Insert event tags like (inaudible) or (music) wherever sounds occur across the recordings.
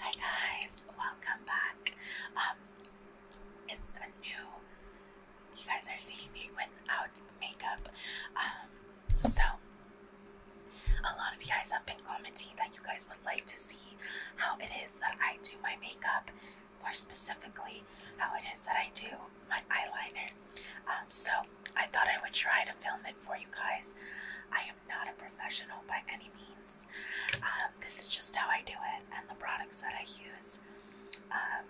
Hi guys, welcome back. Um, it's a new. You guys are seeing me without makeup. Um, so a lot of you guys have been commenting that you guys would like to see how it is that I do my makeup, more specifically how it is that I do my eyeliner. Um, so I thought I would try to film it for you guys. I am not a professional by any means. Um, this is just how I do it and the products that I use. Um,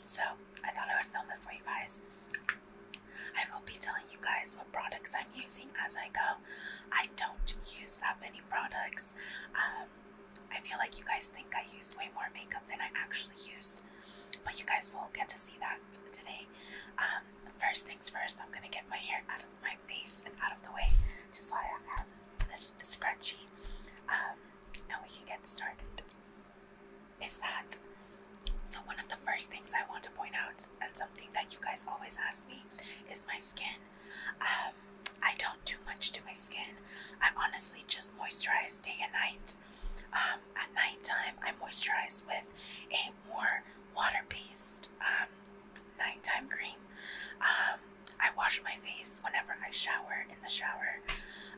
so I thought I would film it for you guys. I will be telling you guys what products I'm using as I go. I don't use that many products. Um, I feel like you guys think I use way more makeup than I actually use, but you guys will get to see that today. first things first, I'm gonna get my hair out of my face and out of the way, just so I have this scrunchie. Um, and we can get started. Is that so? One of the first things I want to point out, and something that you guys always ask me, is my skin. Um, I don't do much to my skin. I honestly just moisturize day and night. Um, at nighttime, I moisturize with a night water-based um, nighttime cream. Um, I wash my face whenever I shower in the shower.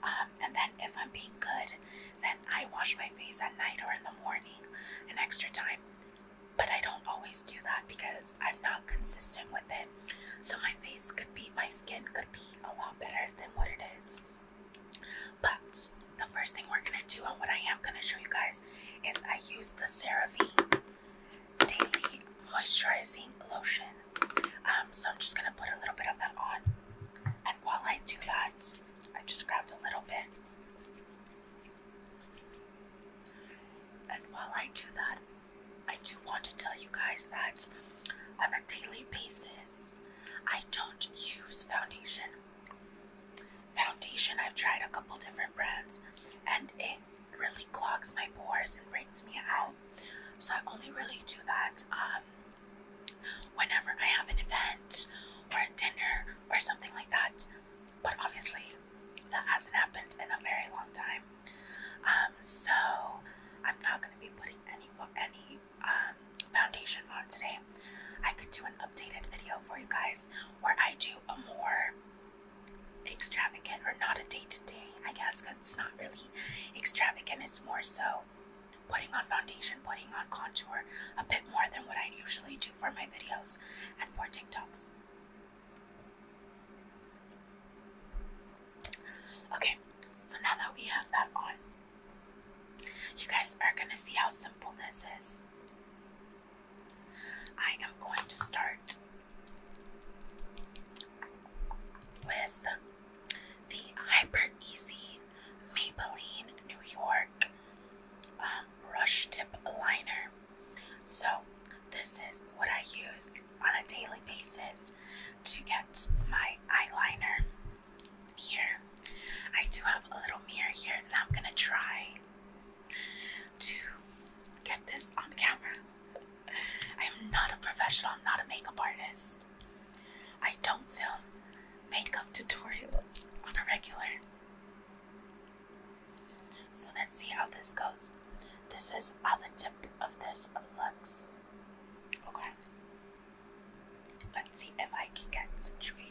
Um, and then if I'm being good, then I wash my face at night or in the morning an extra time. But I don't always do that because I'm not consistent with it. So my face could be, my skin could be a lot better than what it is. But the first thing we're going to do and what I am going to show you guys is I use the CeraVe Daily Moisturizing Lotion. Um, so I'm just gonna put a little bit of that on. And while I do that, I just grabbed a little bit. And while I do that, I do want to tell you guys that on a daily basis, I don't use foundation foundation. I've tried a couple different brands and it really clogs my pores and breaks me out. So I only really do that um, whenever I have an event or a dinner or something like that. But obviously, that hasn't happened in a very long time. Um, so I'm not going to be putting any any um, foundation on today. I could do an updated video for you guys where I do a more extravagant or not a day to day, I guess, because it's not really extravagant. It's more so putting on foundation, putting on contour a bit more than what I usually do for my videos and for TikToks. Okay, so now that we have that on, you guys are gonna see how simple this is. I am going to start with the Hyper Easy Maybelline New York um, Brush Tip Liner. So, this is what I use on a daily basis to get my eyeliner here. I do have a little mirror here, and I'm gonna try to get this on camera. I am not a professional, I'm not a makeup artist. I don't film makeup tutorials on a regular. So let's see how this goes. This is how the tip of this looks. Okay. Let's see if I can get situated.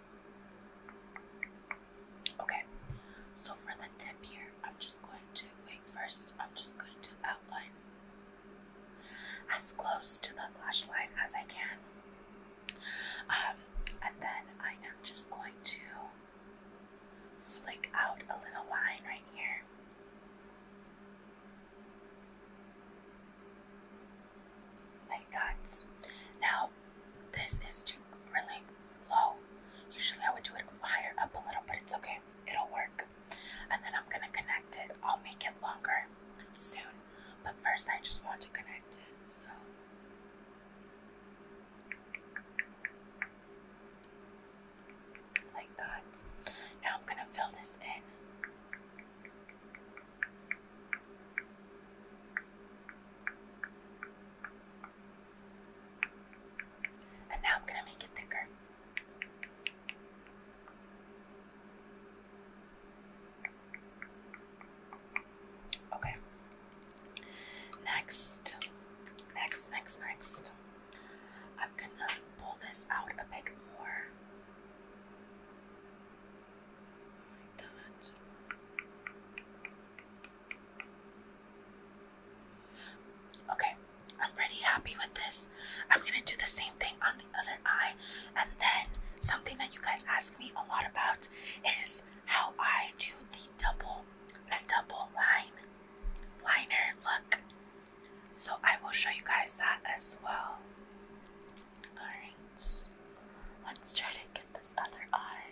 Okay, so for the tip here, I'm just going to wait first. I'm just going to outline as close to the lash line as I can. Um, and then I am just going to flick out a little line right here. Like that. Now, this is too really low. Usually I would do it higher up a little, but it's okay. It'll work. And then I'm gonna connect it. I'll make it longer soon, but first I just want to connect it. So. Like that. Now I'm gonna fill this in. And now I'm going to make it thicker. Okay. Next, next, next, next. I'm gonna pull this out a bit more. Like that. Okay, I'm pretty happy with this. I'm gonna do the same thing on the other eye, and then something that you guys ask me a lot about is how I do the double, the double line liner look. So I will show you guys that as well. Alright, let's try to get this other eye.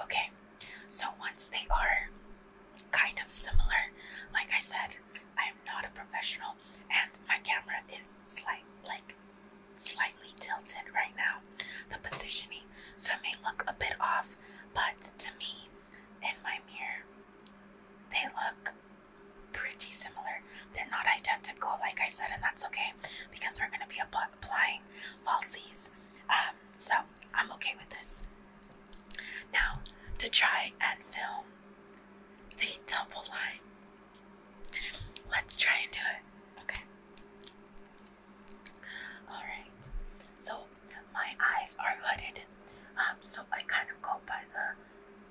Okay, so once they are kind of similar, like I said, I am not a professional, and my camera is slight, like slightly tilted right now. The positioning, so it may look a bit off, but to me, in my mirror, they look pretty similar. They're not identical, like I said, and that's okay because we're gonna be applying falsies. Um, so I'm okay with this. Now, to try and film the double line. Let's try and do it. Okay. Alright. So my eyes are hooded. Um, so I kind of go by the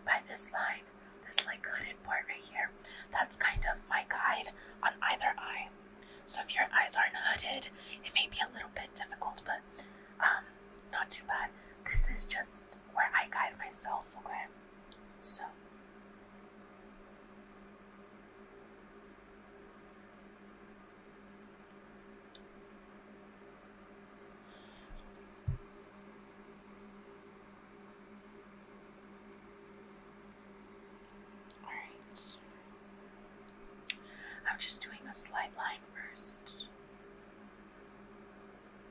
by this line, this like hooded part right here. That's kind of my guide on either eye. So if your eyes aren't hooded, it may be a little bit difficult, but um, not too bad. This is just where I guide myself, okay? So all right. I'm just doing a slight line first.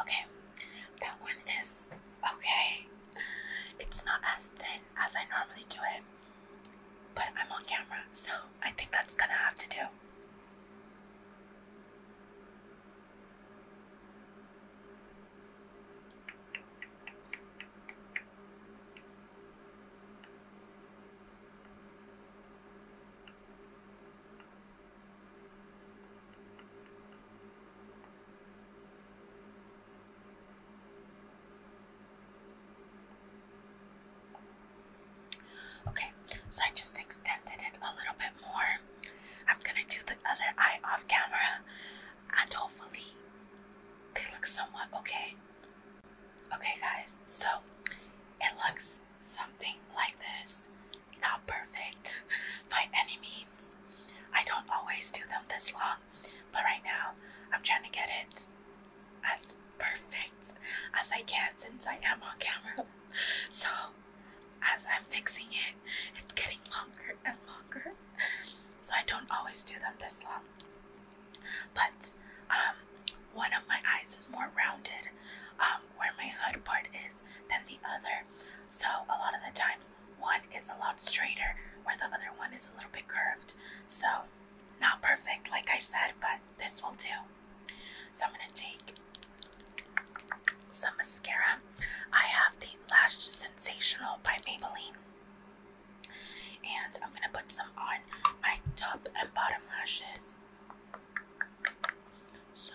Okay, that one is okay. It's not as thin as I normally do it, but I'm on camera, so I think that's gonna have to do. Okay, so I just extended it a little bit more. I'm gonna do the other eye off camera and hopefully they look somewhat okay. Okay, guys, so it looks something like this not perfect by any means. I don't always do them this long, but right now I'm trying to get it as perfect as I can since I am on camera. So, as I'm fixing it, it's getting longer and longer. So, I don't always do them this long. But, um, one of my eyes is more rounded, um, where my hood part is, than the other. So, a lot of the times one is a lot straighter where the other one is a little bit curved. So, not perfect, like I said, but this will do. So, I'm gonna take some mascara. I have the Lash Sensational by Maybelline, and I'm gonna put some on my top and bottom lashes. So,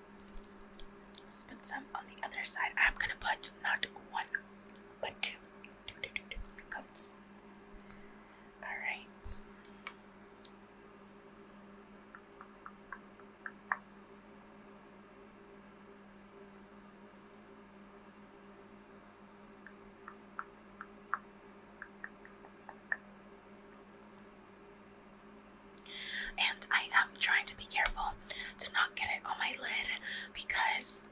put some on the other side. I'm gonna put not one, but two. Two, two, two, two Alright and I am trying to be careful to not get it on my lid because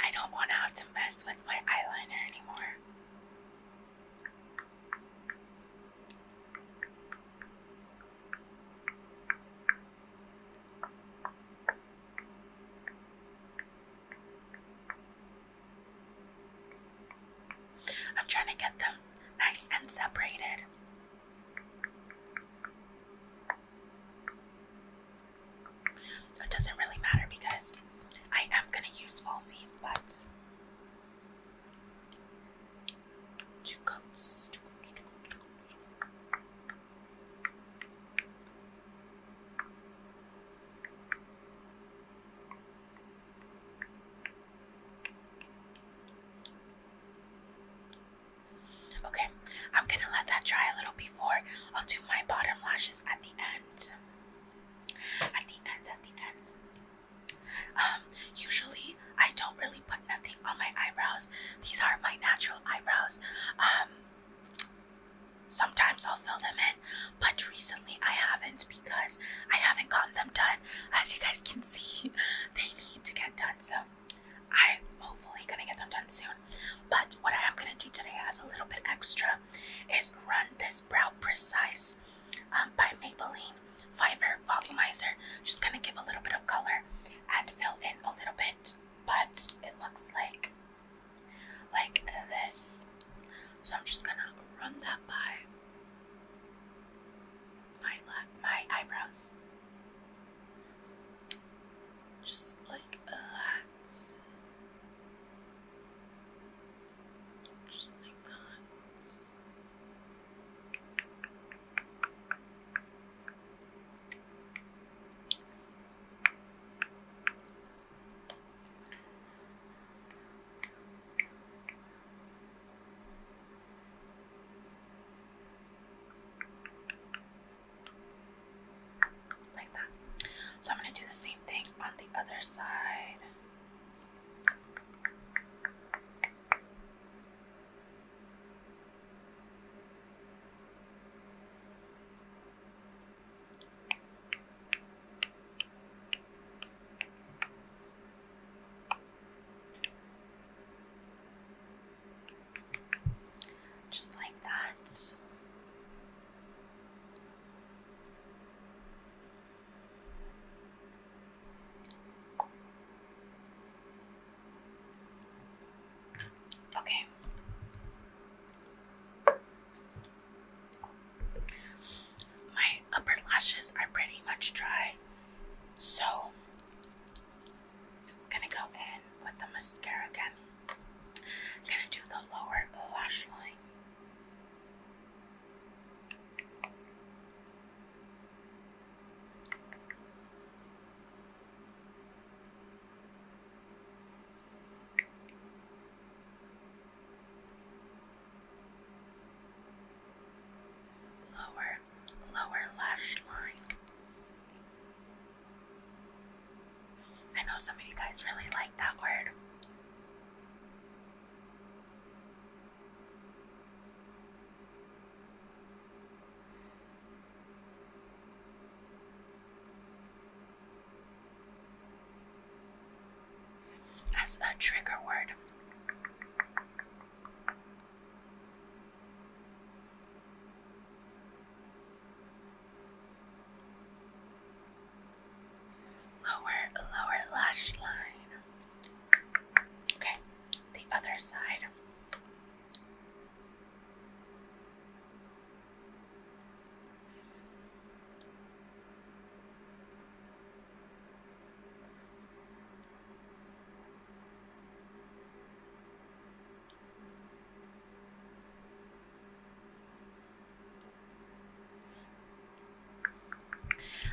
I don't want to have to mess with my eyeliner anymore. I'm trying to get them nice and separated it doesn't really matter because I am going to use falsies, but two coats. Okay, I'm gonna let that dry a little before I'll do my bottom lashes at the end. At the end, at the end. Um, usually I don't really put nothing on my eyebrows. These are my natural eyebrows. Um sometimes I'll fill them in, but recently I haven't because I haven't gotten them done. As you guys can (laughs) see, they need to get done. So I'm hopefully gonna get them done soon. But what I'm gonna do today as a little bit extra is run this Brow Precise um, by Maybelline Fiverr Volumizer. Just gonna give a little bit of color and fill in a little bit, but it looks like like this. So I'm just gonna run that by my my eyebrows. Just like a Just like that. Like that. So I'm going to do the same thing on the other side. Just like that. Okay. My upper lashes are pretty much dry, so I'm gonna go in with the mascara again. gonna do the lower lash line. Lower, lower lash line. I know some of you guys really like that word. That's a trigger word. Lower, lower lash line. Okay, the other side.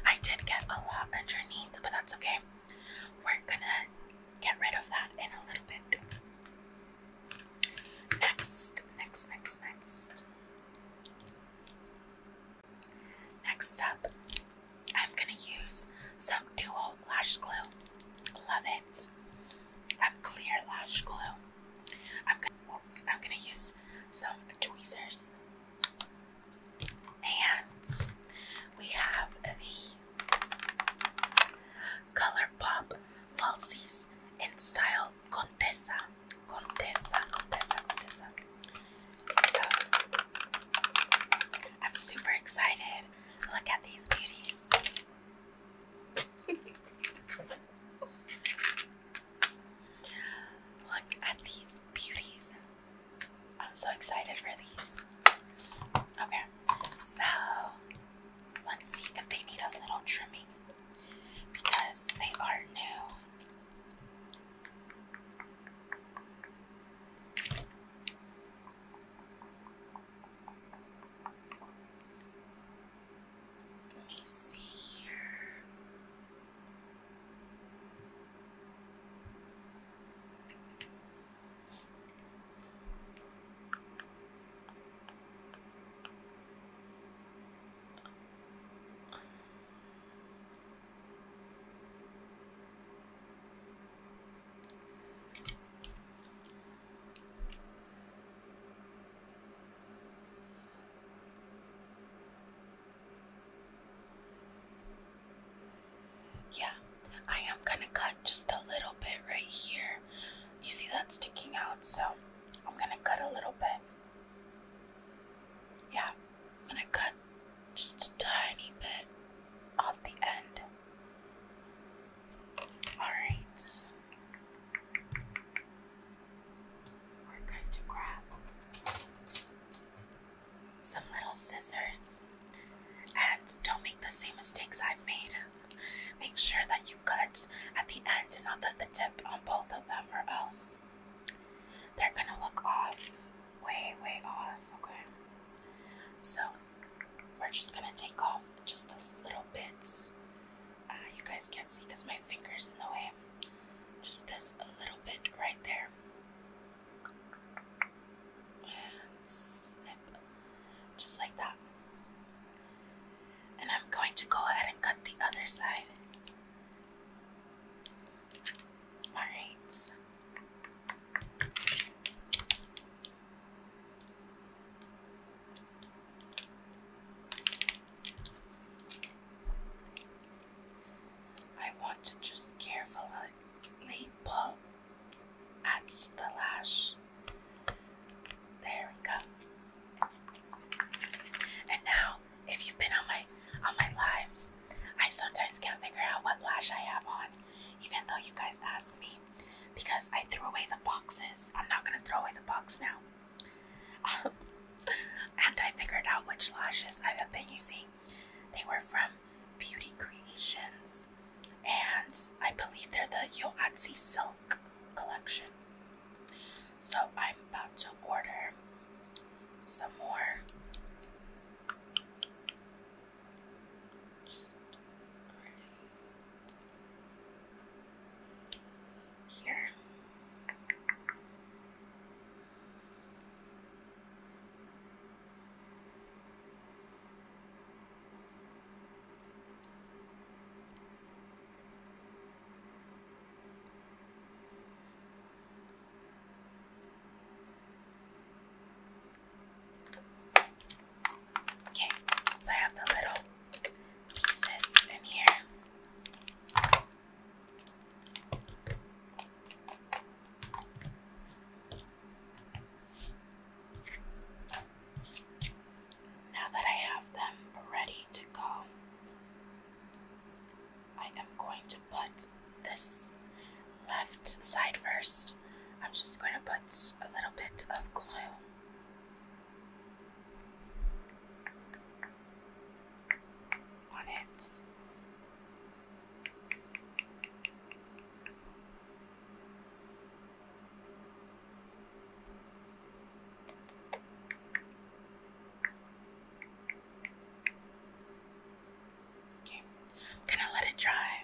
I did get a lot underneath, but that's okay. We're gonna get rid of that in a little bit. Next, next, next, next. Next up I'm gonna use some dual lash glue. Love it. I'm clear lash glue. I'm gonna I'm gonna use some tweezers. And we have the ColourPop falsies in style Contessa. Contessa, Contessa, Contessa. So I'm super excited. Look at these beauties. (laughs) Look at these beauties. I'm so excited for these. Okay, so let's see if they need a little trimming because they are new. Let me see here. Yeah, I am gonna cut just a little bit right here. You see that sticking out, so I'm gonna cut a little bit. Yeah, I'm gonna cut just a tiny bit off the end. Alright. We're going to grab some little scissors. And don't make the same mistakes I've made. Make sure that you cut at the end and not at the tip on both of them, or else they're gonna look off. Way, way off, okay? So we're just gonna take off just those little bits. Uh, you guys can't see because my finger's in the way. Just this a little bit right there. And snip. Just like that. And I'm going to go ahead and cut the other side. Alright. I want to just carefully pull at the lash. There we go. And now, if you've been on my on my lives, I sometimes can't figure out what lash I have on, even though you guys ask me because I threw away the boxes. I'm not gonna throw away the box now. (laughs) and I figured out which lashes I have been using. They were from Beauty Creations, and I believe they're the Yoatsi Silk collection. So I'm about to order some more just right here. Okay, so I have the little pieces in here. Now that I have them ready to go, I am going to put this left side first. I'm just going to put a little bit of glue. On it. Okay, gonna let it dry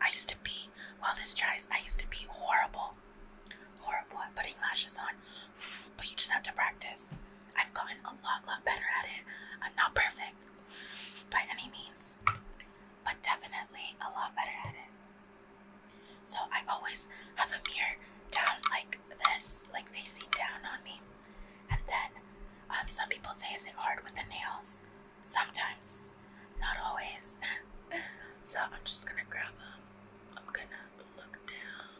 I used to be, while this tries, I used to be horrible, horrible at putting lashes on, but you just have to practice. I've gotten a lot, lot better at it. I'm not perfect by any means, but definitely a lot better at it. So I always have a mirror down like this, like facing down on me. And then um, some people say, is it hard with the nails? Sometimes, not always. (laughs) so I'm just gonna grab them. I'm gonna look down.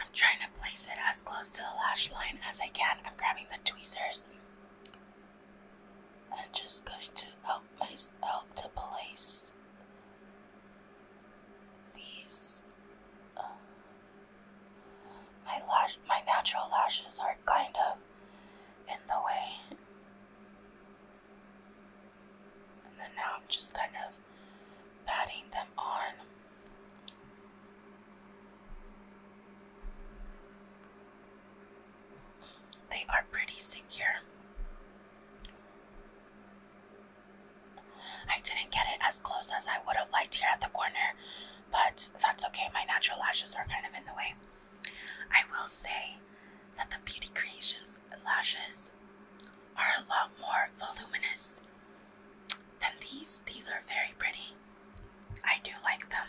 I'm trying to place it as close to the lash line as I can. I'm grabbing the tweezers I'm just going to help myself to place these. Um, my my natural lashes are kind of in the way, and then now I'm just kind of patting them on. They are pretty secure. I didn't get it as close as I would have liked here at the corner, but that's okay. My natural lashes are kind of in the way. I will say that the Beauty Creations lashes are a lot more voluminous than these. These are very pretty. I do like them.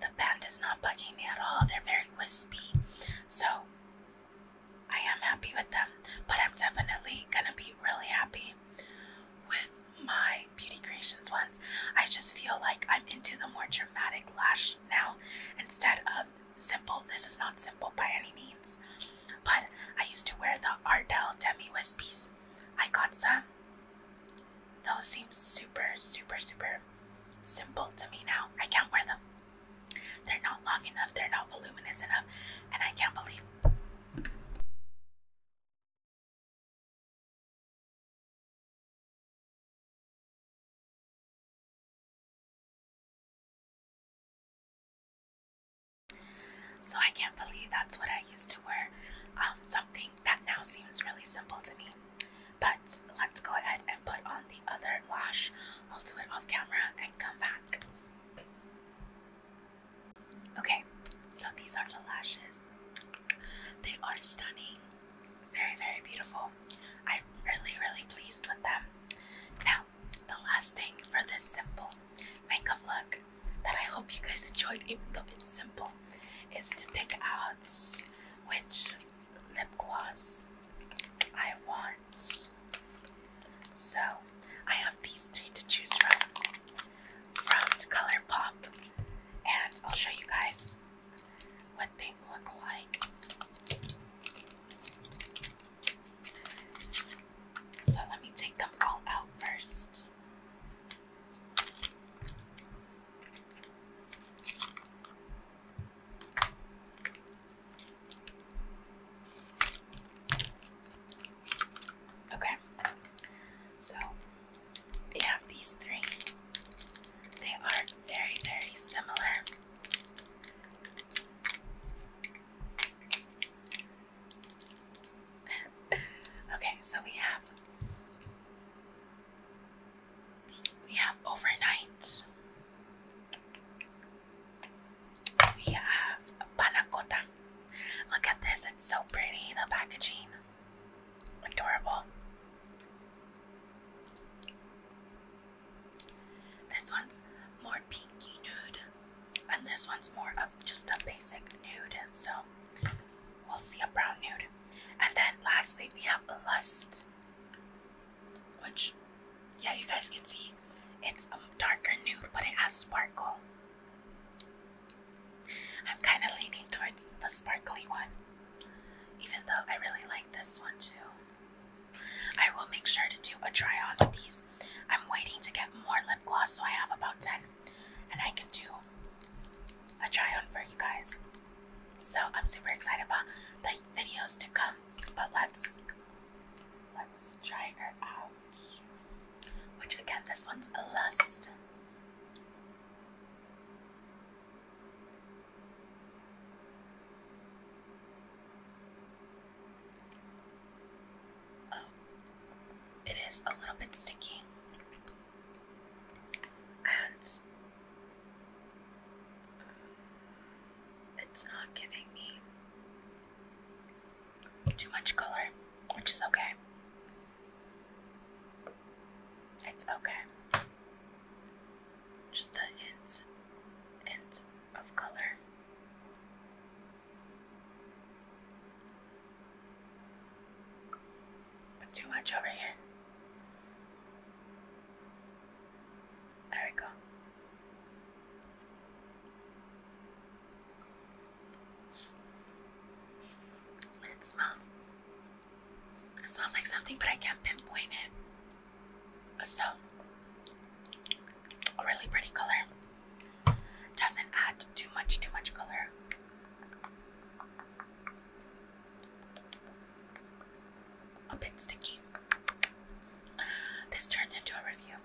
The band is not bugging me at all. They're very wispy. So I am happy with them, but I'm definitely gonna be really happy with my Beauty Creations ones. I just feel like I'm into the more dramatic lash now instead of simple. This is not simple by any means, but I used to wear the Ardell Demi Wispies. I got some those seem super, super, super simple to me now. I can't wear them. They're not long enough, they're not voluminous enough, and I can't believe. So I can't believe that's what I used to wear. Um, something that now seems really simple to me. But let's go ahead and put on the other lash. I'll do it off camera and come back. Okay, so these are the lashes. They are stunning, very, very beautiful. I'm really, really pleased with them. Now, the last thing for this simple makeup look that I hope you guys enjoyed, even though it's simple, is to pick out which lip gloss I want. So I have these three to choose from from ColourPop, and I'll show you guys what they look like. So let me take them all out first. Okay, so we have these three. They are very, very similar okay, so we have we have overnight. We have panacota. Look at this, it's so pretty, the packaging. Adorable. This one's more pinky nude, and this one's more of just a basic nude. So we'll see a brown nude. And then lastly, we have lust, which, yeah, you guys can see it's a darker nude, but it has sparkle. I'm kind of leaning towards the sparkly one, even though I really like this one too. I will make sure to do a try on with these. I'm waiting to get more lip gloss, so I have about 10 and I can do a try on for you guys. So I'm super excited about the videos to come. But let's let's try her out. Which again, this one's a lust. Oh, it is a little bit sticky and it's not giving me too much color, which is okay. It's okay. Just the hint, hint of color. But too much over here. There we go. It smells. It smells like something, but I can't pinpoint it. So, really pretty color. Doesn't add too much, too much color a bit sticky. This turned into a review,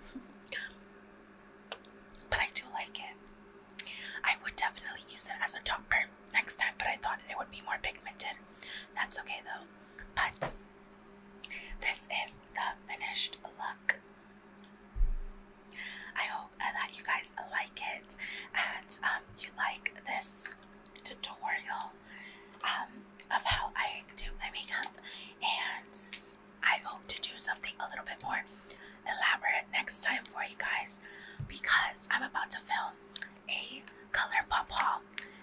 but I do like it. I would definitely use it as a topper next time, but I thought it would be more pigmented. That's okay though. But this is the finished look. I hope and that you guys like it and um, you like this tutorial um, of how I do my makeup. And I hope to do something a little bit more elaborate next time for you guys because I'm about to film a color pop haul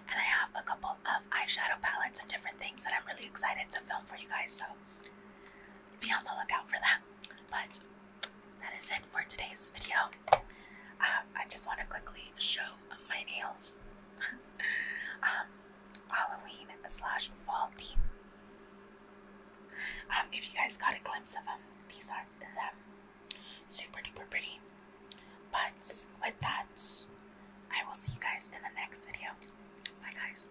and I have a couple of eyeshadow palettes and different things that I'm really excited to film for you guys. So be on the lookout for that. But that is it for today's video. Um, I just want to quickly show my nails. (laughs) um, Halloween slash fall theme. Um, if you guys got a glimpse of them, these are them. Super duper pretty. But with that, I will see you guys in the next video. Bye guys.